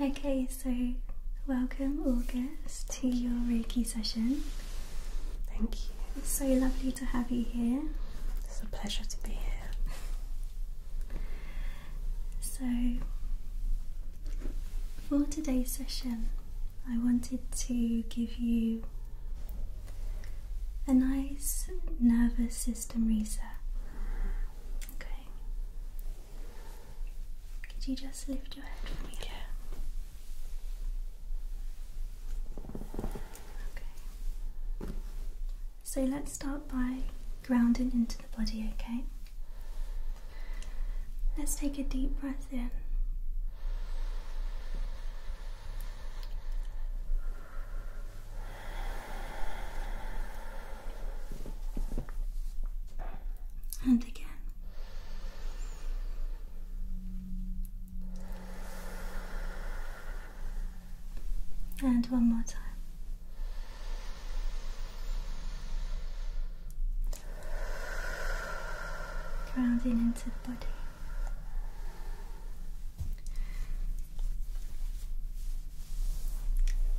Okay, so welcome August to your Reiki session. Thank you. It's so lovely to have you here. It's a pleasure to be here. So, for today's session, I wanted to give you a nice nervous system reset. Okay. Could you just lift your head for me? Yeah. Okay. So let's start by grounding into the body, okay? Let's take a deep breath in. And again. And one more time. Grounding into the body.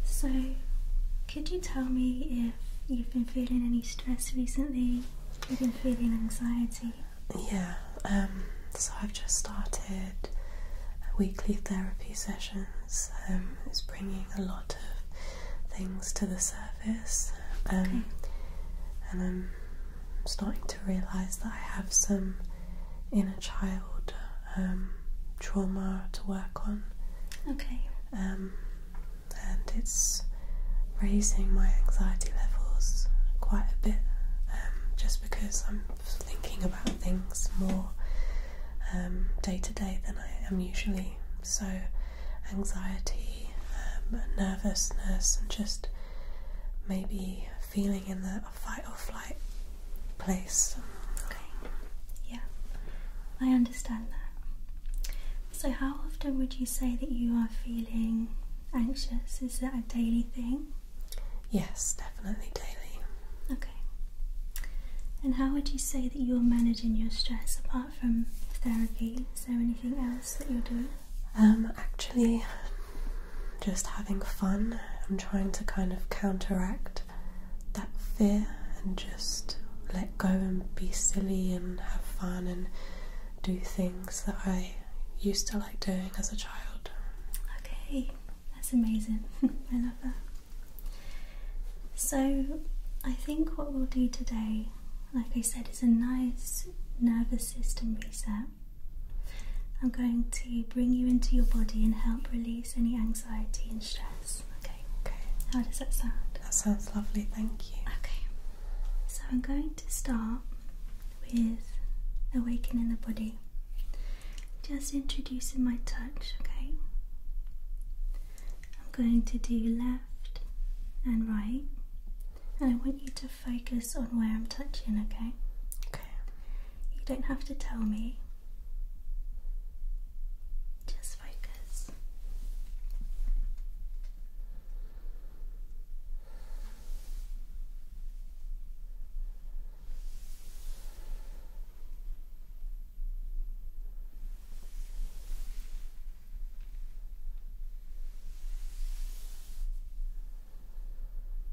So, could you tell me if you've been feeling any stress recently? You've been feeling anxiety? Yeah, um, so I've just started weekly therapy sessions. Um, it's bringing a lot of things to the surface. Um, and I'm starting to realise that I have some inner child um, trauma to work on. Okay. Um, and it's raising my anxiety levels quite a bit um, just because I'm thinking about things more day to day than I am usually. So, anxiety, um, nervousness, and just maybe feeling in the fight or flight place. Okay. Yeah, I understand that. So, how often would you say that you are feeling anxious? Is that a daily thing? Yes, definitely daily. Okay. And how would you say that you're managing your stress apart from therapy? Is there anything else that you're doing? Um, actually, just having fun. I'm trying to kind of counteract that fear and just let go and be silly and have fun and do things that I used to like doing as a child. Okay, that's amazing. I love that. So, I think what we'll do today, like I said, is a nice nervous system reset. I'm going to bring you into your body and help release any anxiety and stress. Okay. Okay. How does that sound? That sounds lovely, thank you. Okay. So I'm going to start with awakening the body. Just introducing my touch, okay? I'm going to do left and right. And I want you to focus on where I'm touching, okay? Okay. You don't have to tell me just focus.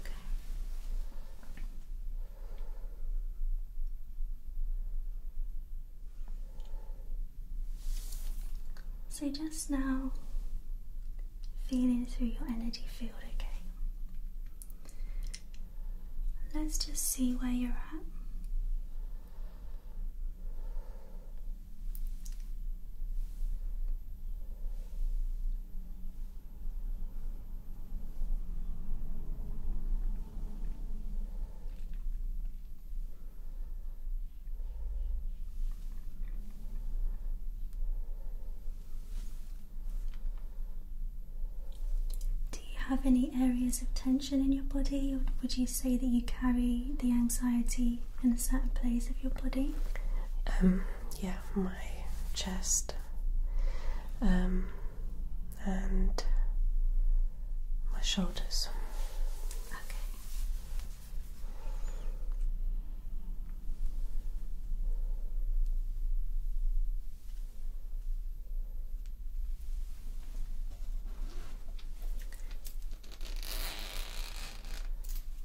Okay. So just now feeling through your energy field, okay? Let's just see where you're at. Do you have any areas of tension in your body, or would you say that you carry the anxiety in a certain place of your body? Um, yeah, my chest um, and my shoulders. Okay.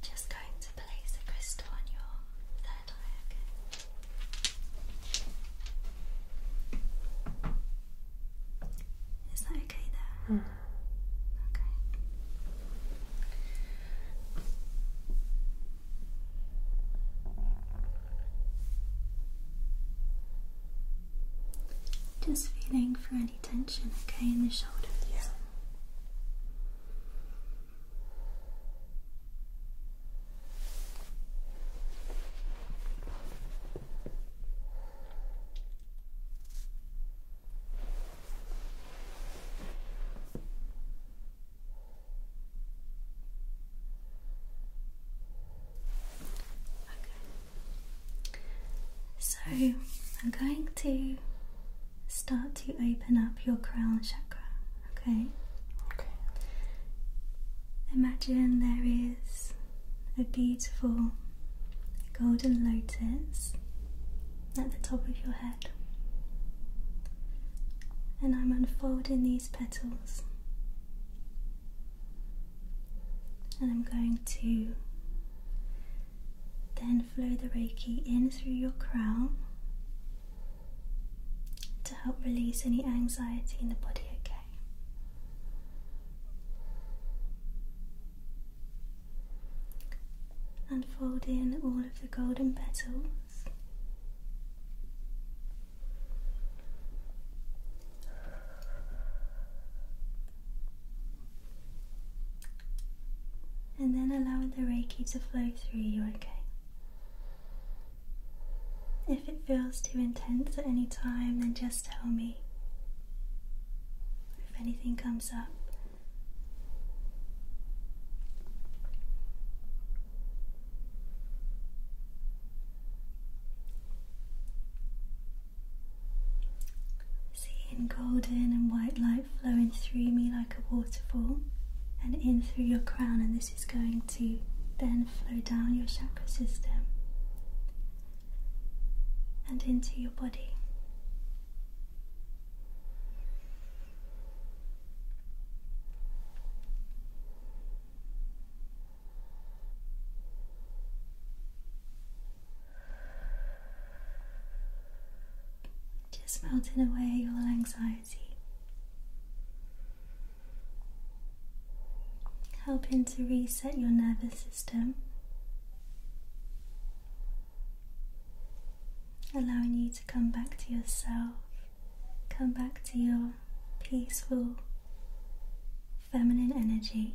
Just going to place a crystal on your third eye, Is that okay there? Hmm. Okay. Just feeling for any tension, okay, in the shoulders. Yeah. Okay. So, I'm going to start to open up your crown chakra, okay? Okay. Imagine there is a beautiful golden lotus at the top of your head. And I'm unfolding these petals. And I'm going to then flow the Reiki in through your crown to help release any anxiety in the body, okay? And fold in all of the golden petals. And then allow the Reiki to flow through you, okay? If it feels too intense at any time, then just tell me. If anything comes up, Seeing golden and white light flowing through me like a waterfall and in through your crown, and this is going to then flow down your chakra system and into your body. Just melting away your anxiety, helping to reset your nervous system, allowing you to come back to yourself, come back to your peaceful feminine energy.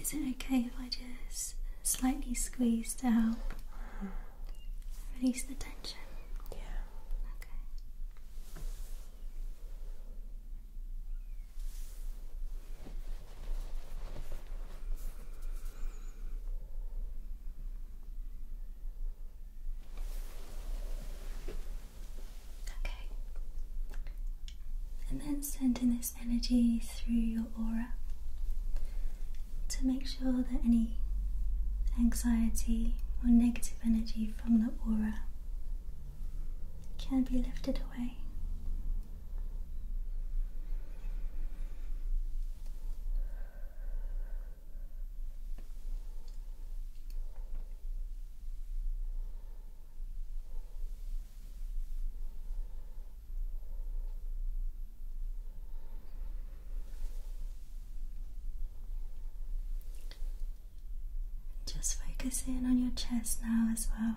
Is it okay if I just slightly squeeze to help release the tension? Yeah. Okay. Okay. And then sending this energy through your aura to make sure that any anxiety or negative energy from the aura can be lifted away. Just focus in on your chest now as well,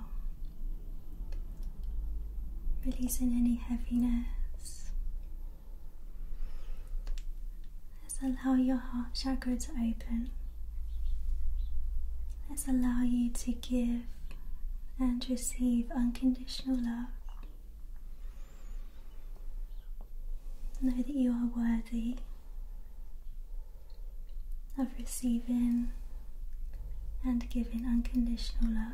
releasing any heaviness. Just allow your heart chakra to open. Let's allow you to give and receive unconditional love. Know that you are worthy of receiving and giving unconditional love.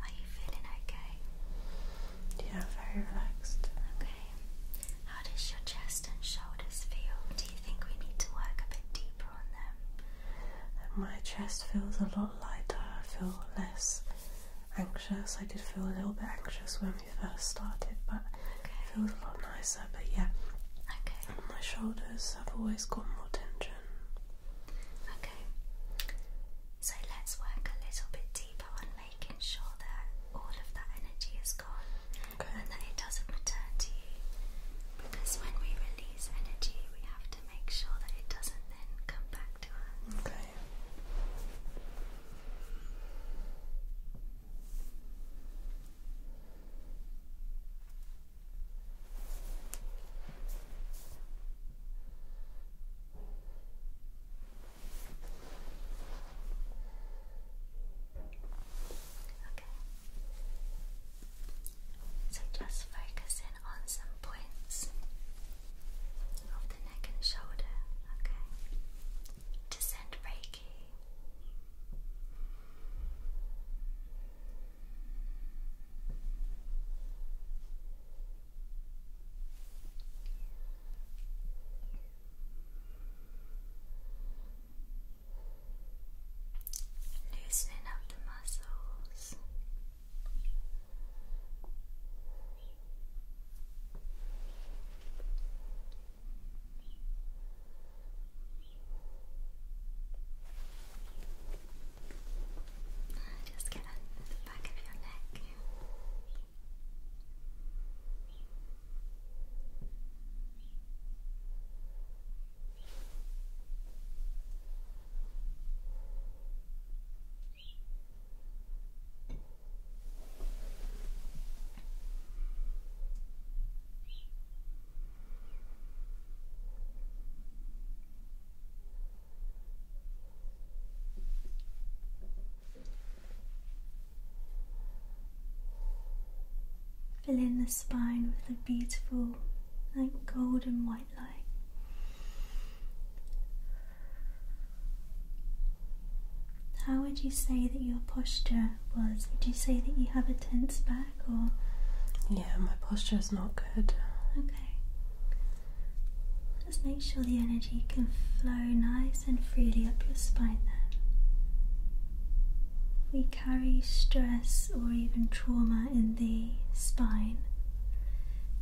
are you feeling okay? Yeah, very relaxed. Okay. How does your chest and shoulders feel? Do you think we need to work a bit deeper on them? My chest feels a lot lighter. I feel less anxious. I did feel a little bit anxious when we first started, but it feels a lot nicer. But yeah, okay. my shoulders have always got more tension. Okay. So let's work a little bit deeper on making sure that all of that energy is gone and that it doesn't return to you. Because when we release energy, we have to make sure that it doesn't then come back to us. Okay. So just focus on some points of the neck and shoulder, okay? To Reiki. Loosening up the muscles. Just get on the back of your neck. Fill in the spine with a beautiful, like golden white light. How would you say that your posture was? Would you say that you have a tense back or? Yeah, my posture is not good. Okay. Just make sure the energy can flow nice and freely up your spine there. We carry stress or even trauma in the spine,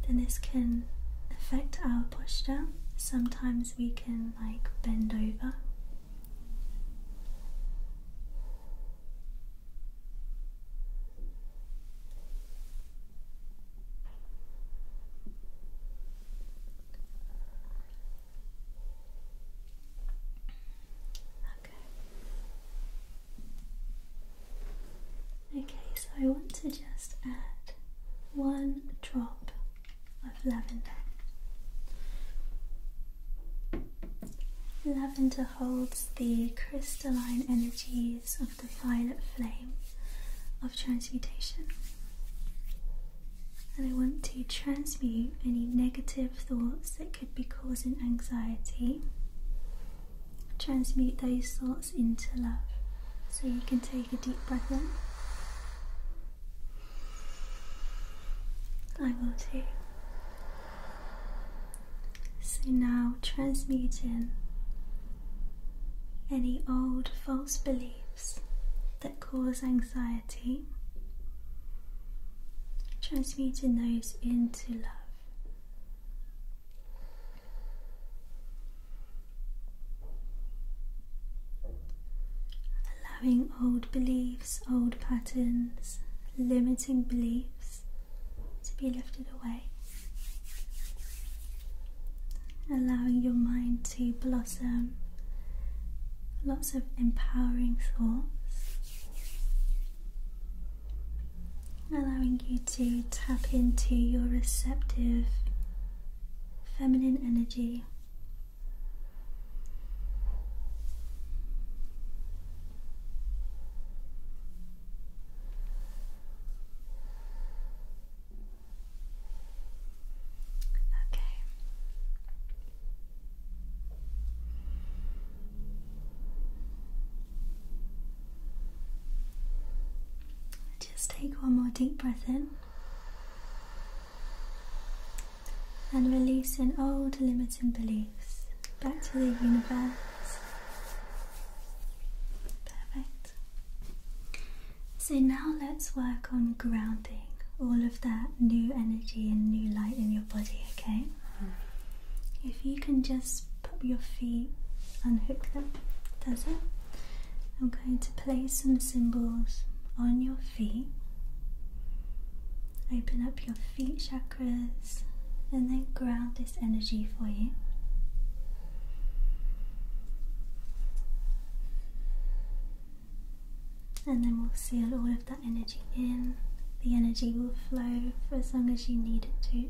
then this can affect our posture. Sometimes we can like bend over. Okay, so I want to just add one drop of lavender. Lavender holds the crystalline energies of the violet flame of transmutation. And I want to transmute any negative thoughts that could be causing anxiety, transmute those thoughts into love. So you can take a deep breath in. I will too. So now transmuting any old false beliefs that cause anxiety, transmuting those into love. Allowing old beliefs, old patterns, limiting beliefs to be lifted away, allowing your mind to blossom lots of empowering thoughts, allowing you to tap into your receptive feminine energy. Okay. Just take one more deep breath in and release in old limiting beliefs back to the universe Perfect. So now let's work on grounding all of that new energy and new light in your body, okay? Mm-hmm. If you can just put your feet, and hook them, does it? I'm going to place some symbols on your feet. Open up your feet chakras and then ground energy for you. And then we'll seal all of that energy in. The energy will flow for as long as you need it to.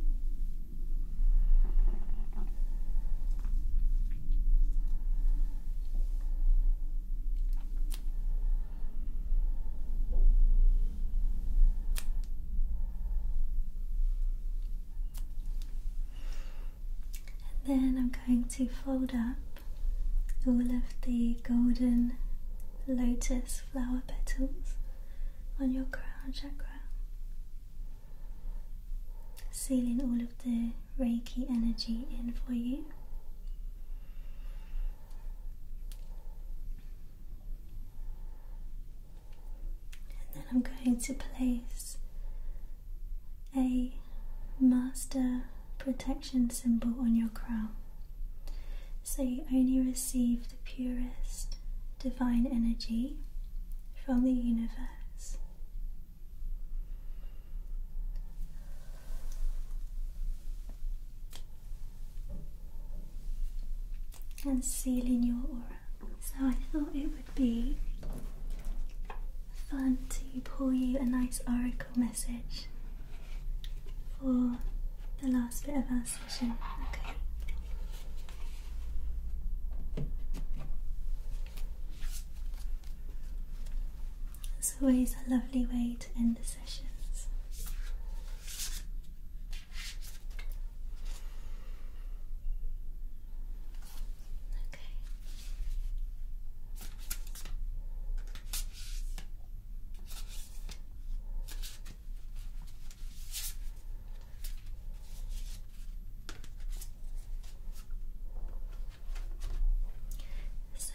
And then I'm going to fold up all of the golden lotus flower petals on your crown chakra, sealing all of the Reiki energy in for you and then I'm going to place a master protection symbol on your crown so you only receive the purest divine energy from the universe and sealing your aura. So I thought it would be fun to pull you a nice oracle message for the last bit of our session. Okay. It's always a lovely way to end the sessions.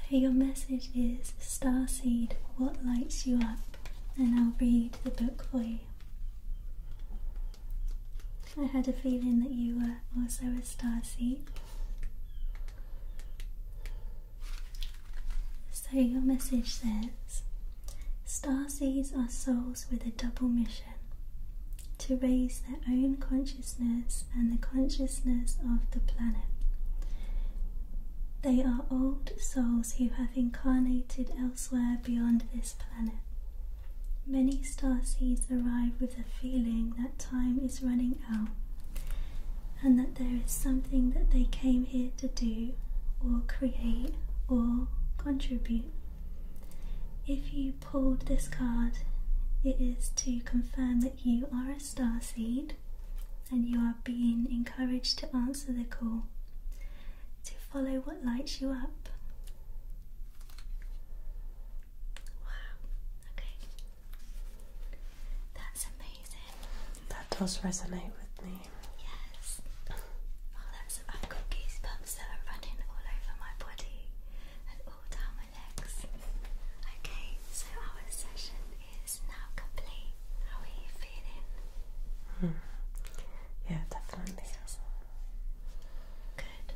So, your message is Starseed, what lights you up? And I'll read the book for you. I had a feeling that you were also a star seed. So your message says star seeds are souls with a double mission to raise their own consciousness and the consciousness of the planet. They are old souls who have incarnated elsewhere beyond this planet. Many star seeds arrive with the feeling that time is running out and that there is something that they came here to do or create or contribute. If you pulled this card, it is to confirm that you are a star seed and you are being encouraged to answer the call, to follow what lights you up. Wow, okay. That's amazing. That does resonate with me. Yes. Oh, that's, I've got goosebumps that are running all over my body and all down my legs. Okay, so our session is now complete. How are you feeling? Hmm. Yeah, definitely. Good.